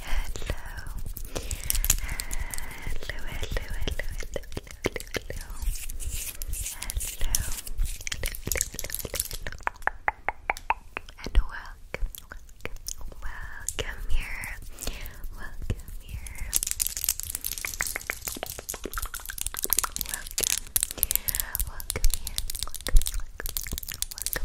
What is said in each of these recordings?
Hello. Hello, hello, hello, hello, hello, hello. Hello. Hello, hello, hello. And welcome, welcome, welcome here. Welcome here. Welcome. Welcome here everyone.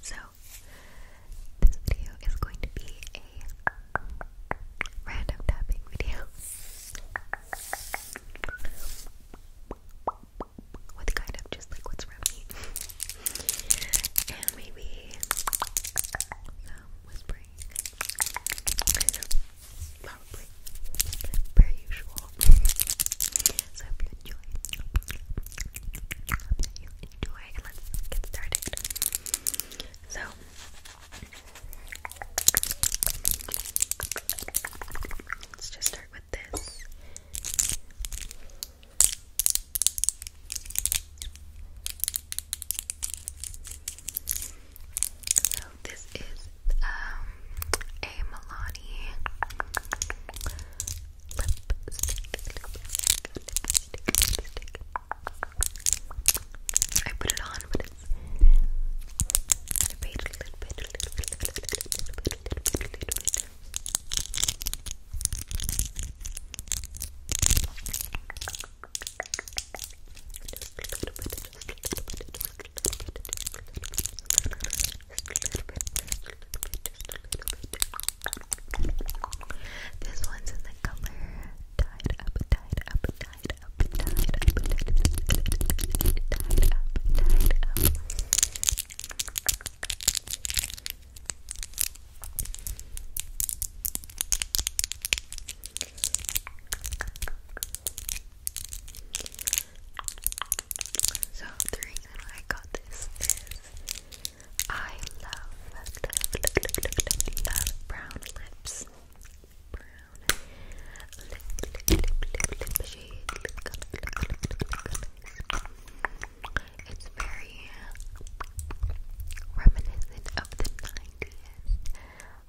So, this video is going to be a random tapping video with kind of just like what's around me. And maybe um, whispering. probably per usual. So I hope you enjoy. I hope that you enjoy and let's get started. So Let's just start with this. So this is um, a Milani I put it on, this one's in the color so the reason I got this is I love, brown lips. It's very reminiscent of the 90s.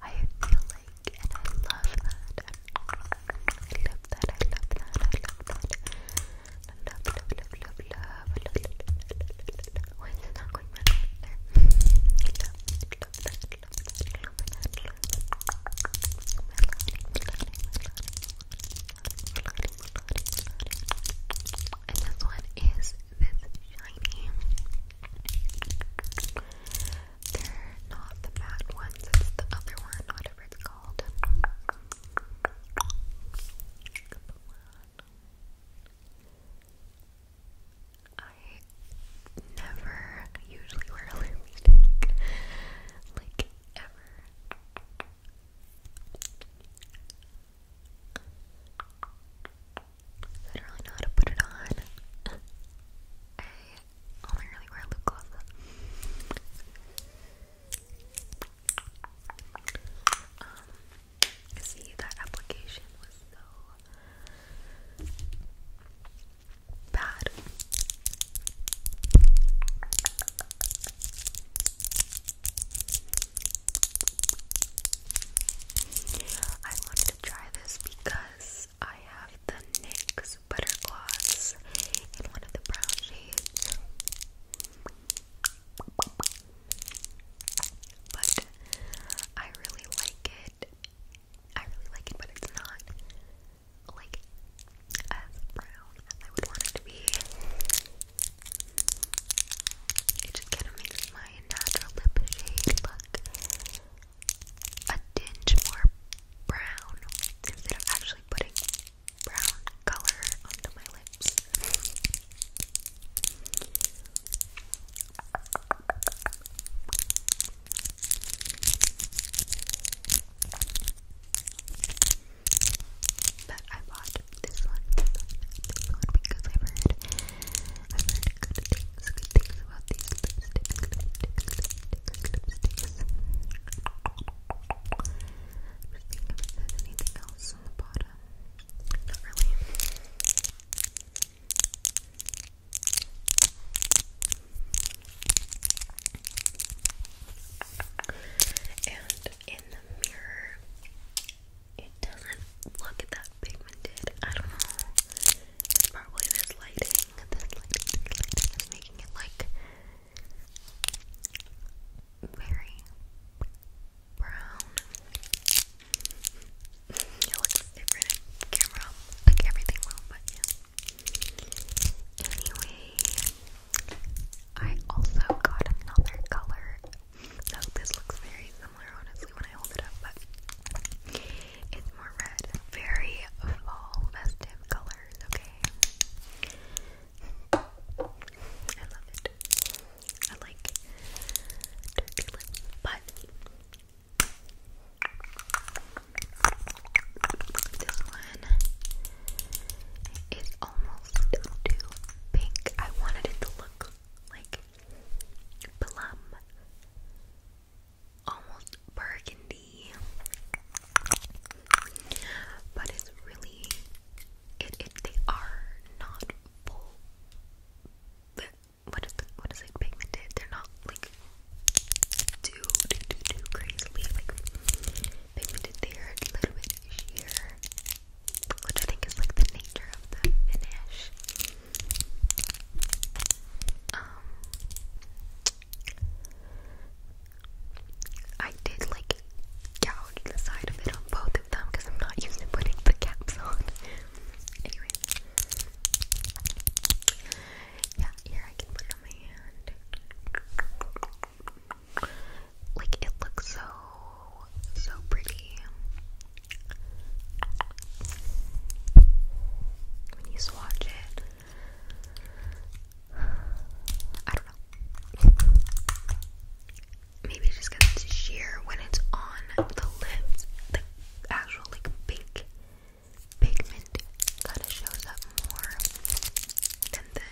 I feel like, and I love that. I love that, I love that, I love that. Love, love, love, love, love. Why is it not going Love that, love that, love love that. And this one is this shiny. They're not the matte ones, it's the other one, whatever it's called. I never usually wear lipstick, like ever. I don't really know how to put it on. I only really wear lip gloss. Um, see, that application was so bad. I wanted to try this because I have the NYX Butter Gloss in one of the brown shades. But I really like it. I really like it, but it's not like as brown as I would want it to be. It just kind of makes my natural lip shade look a tinge more brown instead of actually putting brown color onto my lips. But I bought this one, this one, because i heard, i heard good things, about these there's anything else on the bottom. Not really. And in the mirror, it doesn't look that pigmented. I don't know. probably this lighting. This lighting, making it like very brown. It looks different in camera. Like everything will, but yeah. Anyway, I also got another color. So this looks very similar, honestly, when I hold it up, but it's more red. Very fall festive colors, okay? I love it. I like but this one is almost too pink. I wanted it to look like plum, almost burgundy, but it's really it. it they are not full. What is the, what is it pigmented? They're not like too too too, too crazily like a little bit sheer, which I think is like the nature of the finish. Um, I did like gouge the side of it on both of them because I'm not used to putting the caps on. anyway, yeah, here I can put on my hand. Like it looks so so pretty when you swatch it. I don't know. Maybe it's just because sheer when it's on the lips, the actual like pink pigment kind of shows up more than the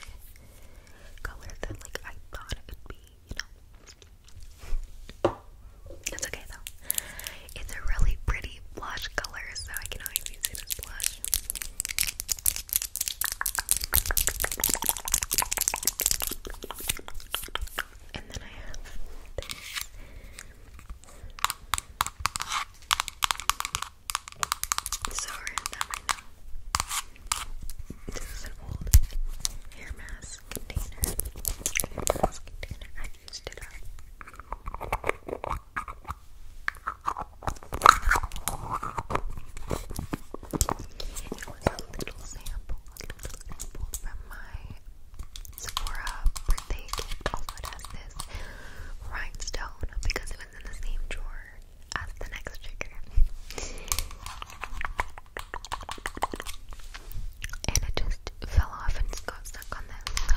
color that like I thought it would be, you know. It's okay though. It's a really pretty blush color, so I can always use it as blush. And then I have Sorry, that might know. This is an old hair mask container. container. I used it It was a little sample, a little sample from my Sephora birthday gift. Also, it has this rhinestone because it was is in the same drawer as the next trigger. and it just fell off and got stuck on this. So.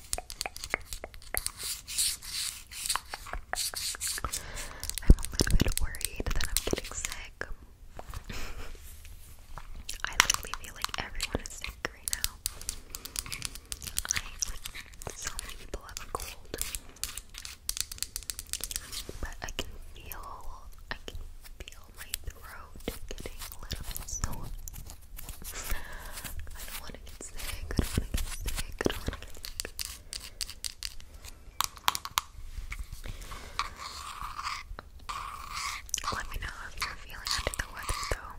I'm a little bit worried that I'm getting sick. I literally feel like everyone is sick right now. so many people have cold. But I can feel I can feel my throat getting a little bit sore. I don't want to get I don't Let me know if you're feeling under the weather, though.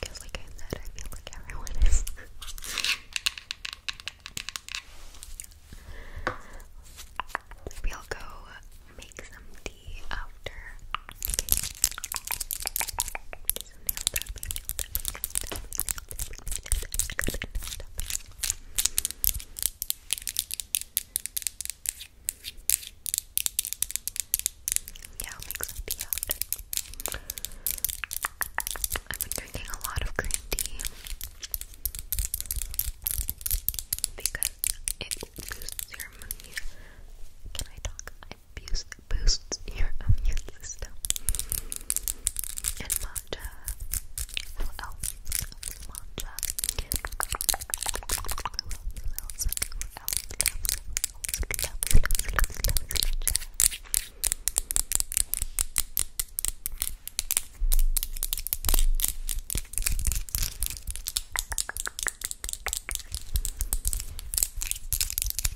Because, like I said, I feel like everyone is. Maybe will go make some tea after. So nail Yeah, I'll make I've been drinking a lot of green tea because it boosts your mood. Can I talk? it boosts, your immune system. And matcha. What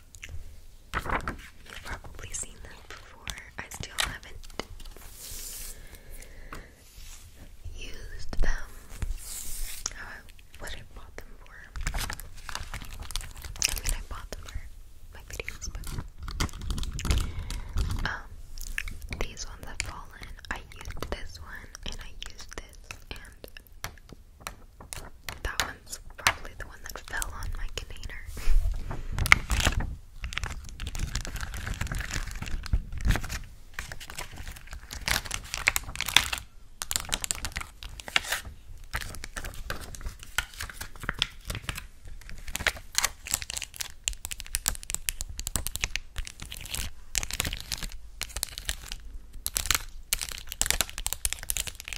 You've probably seen them before. I still haven't used them. what I bought them for. I mean, I bought them for my videos, um, these ones have fallen. I used this one and I used this and that one's probably the one that fell on my container.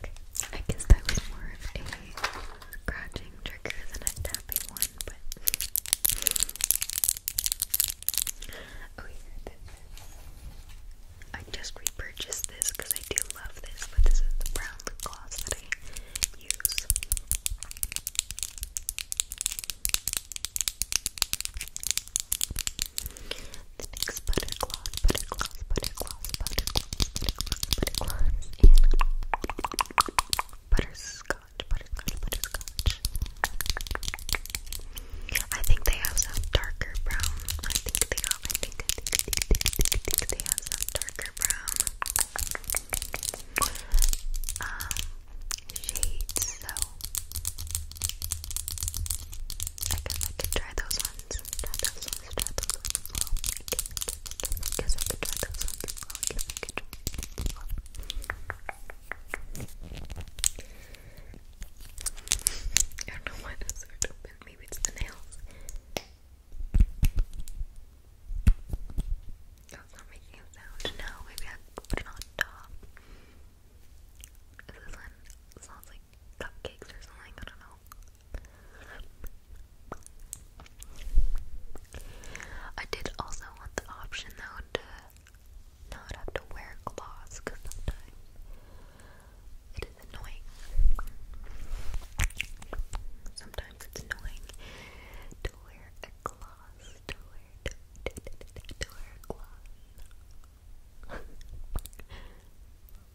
Okay, I guess that was more of a scratching trigger than a tapping one, but. Oh, I just repurchased this because I do love this, but this is the brown lip gloss that I use. next butter gloss, butter gloss, butter gloss, butter butterscotch, butterscotch, butterscotch. I think they have some darker brown. I think they have, I think, they have some darker brown um, shades, so I guess I could try those ones. I don't know why those aren't Maybe it's the nails. That's not making a sound. No, maybe I could this one sounds like cupcakes or something? I don't know. I did also want the option though to not have to wear gloss because sometimes it is annoying. Sometimes it's annoying to wear a gloss, to wear, to, to, to, wear gloss.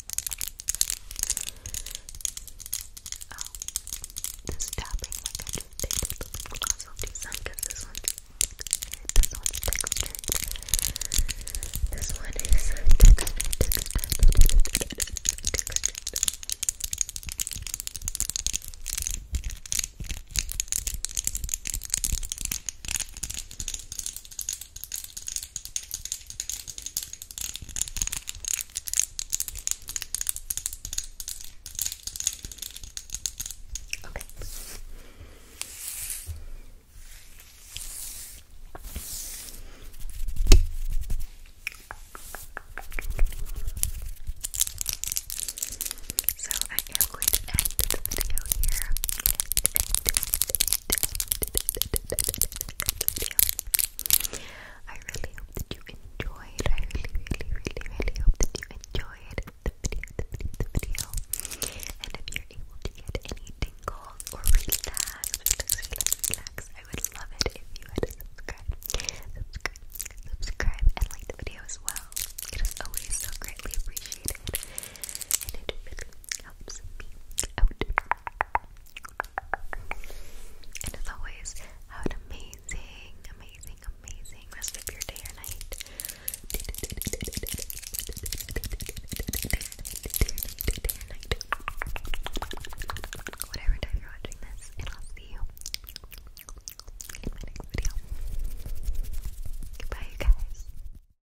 Oh, this tapping like I just did with the gloss will do some because this one's textured, this This one is Okay. So I am going to end the video here video. I really hope that you enjoyed. I really, really, really, really hope that you enjoyed the video, the video, the video. And if you're able to get any tingles or relax, relax, relax, relax, I would love it if you had subscribed, subscribe, subscribe, and like the video as well. It is always so greatly appreciated, and it really, helps And as always, have an amazing, amazing, amazing rest of your day or night. Whatever time you're watching this, and I'll see you in my next video. Goodbye, guys.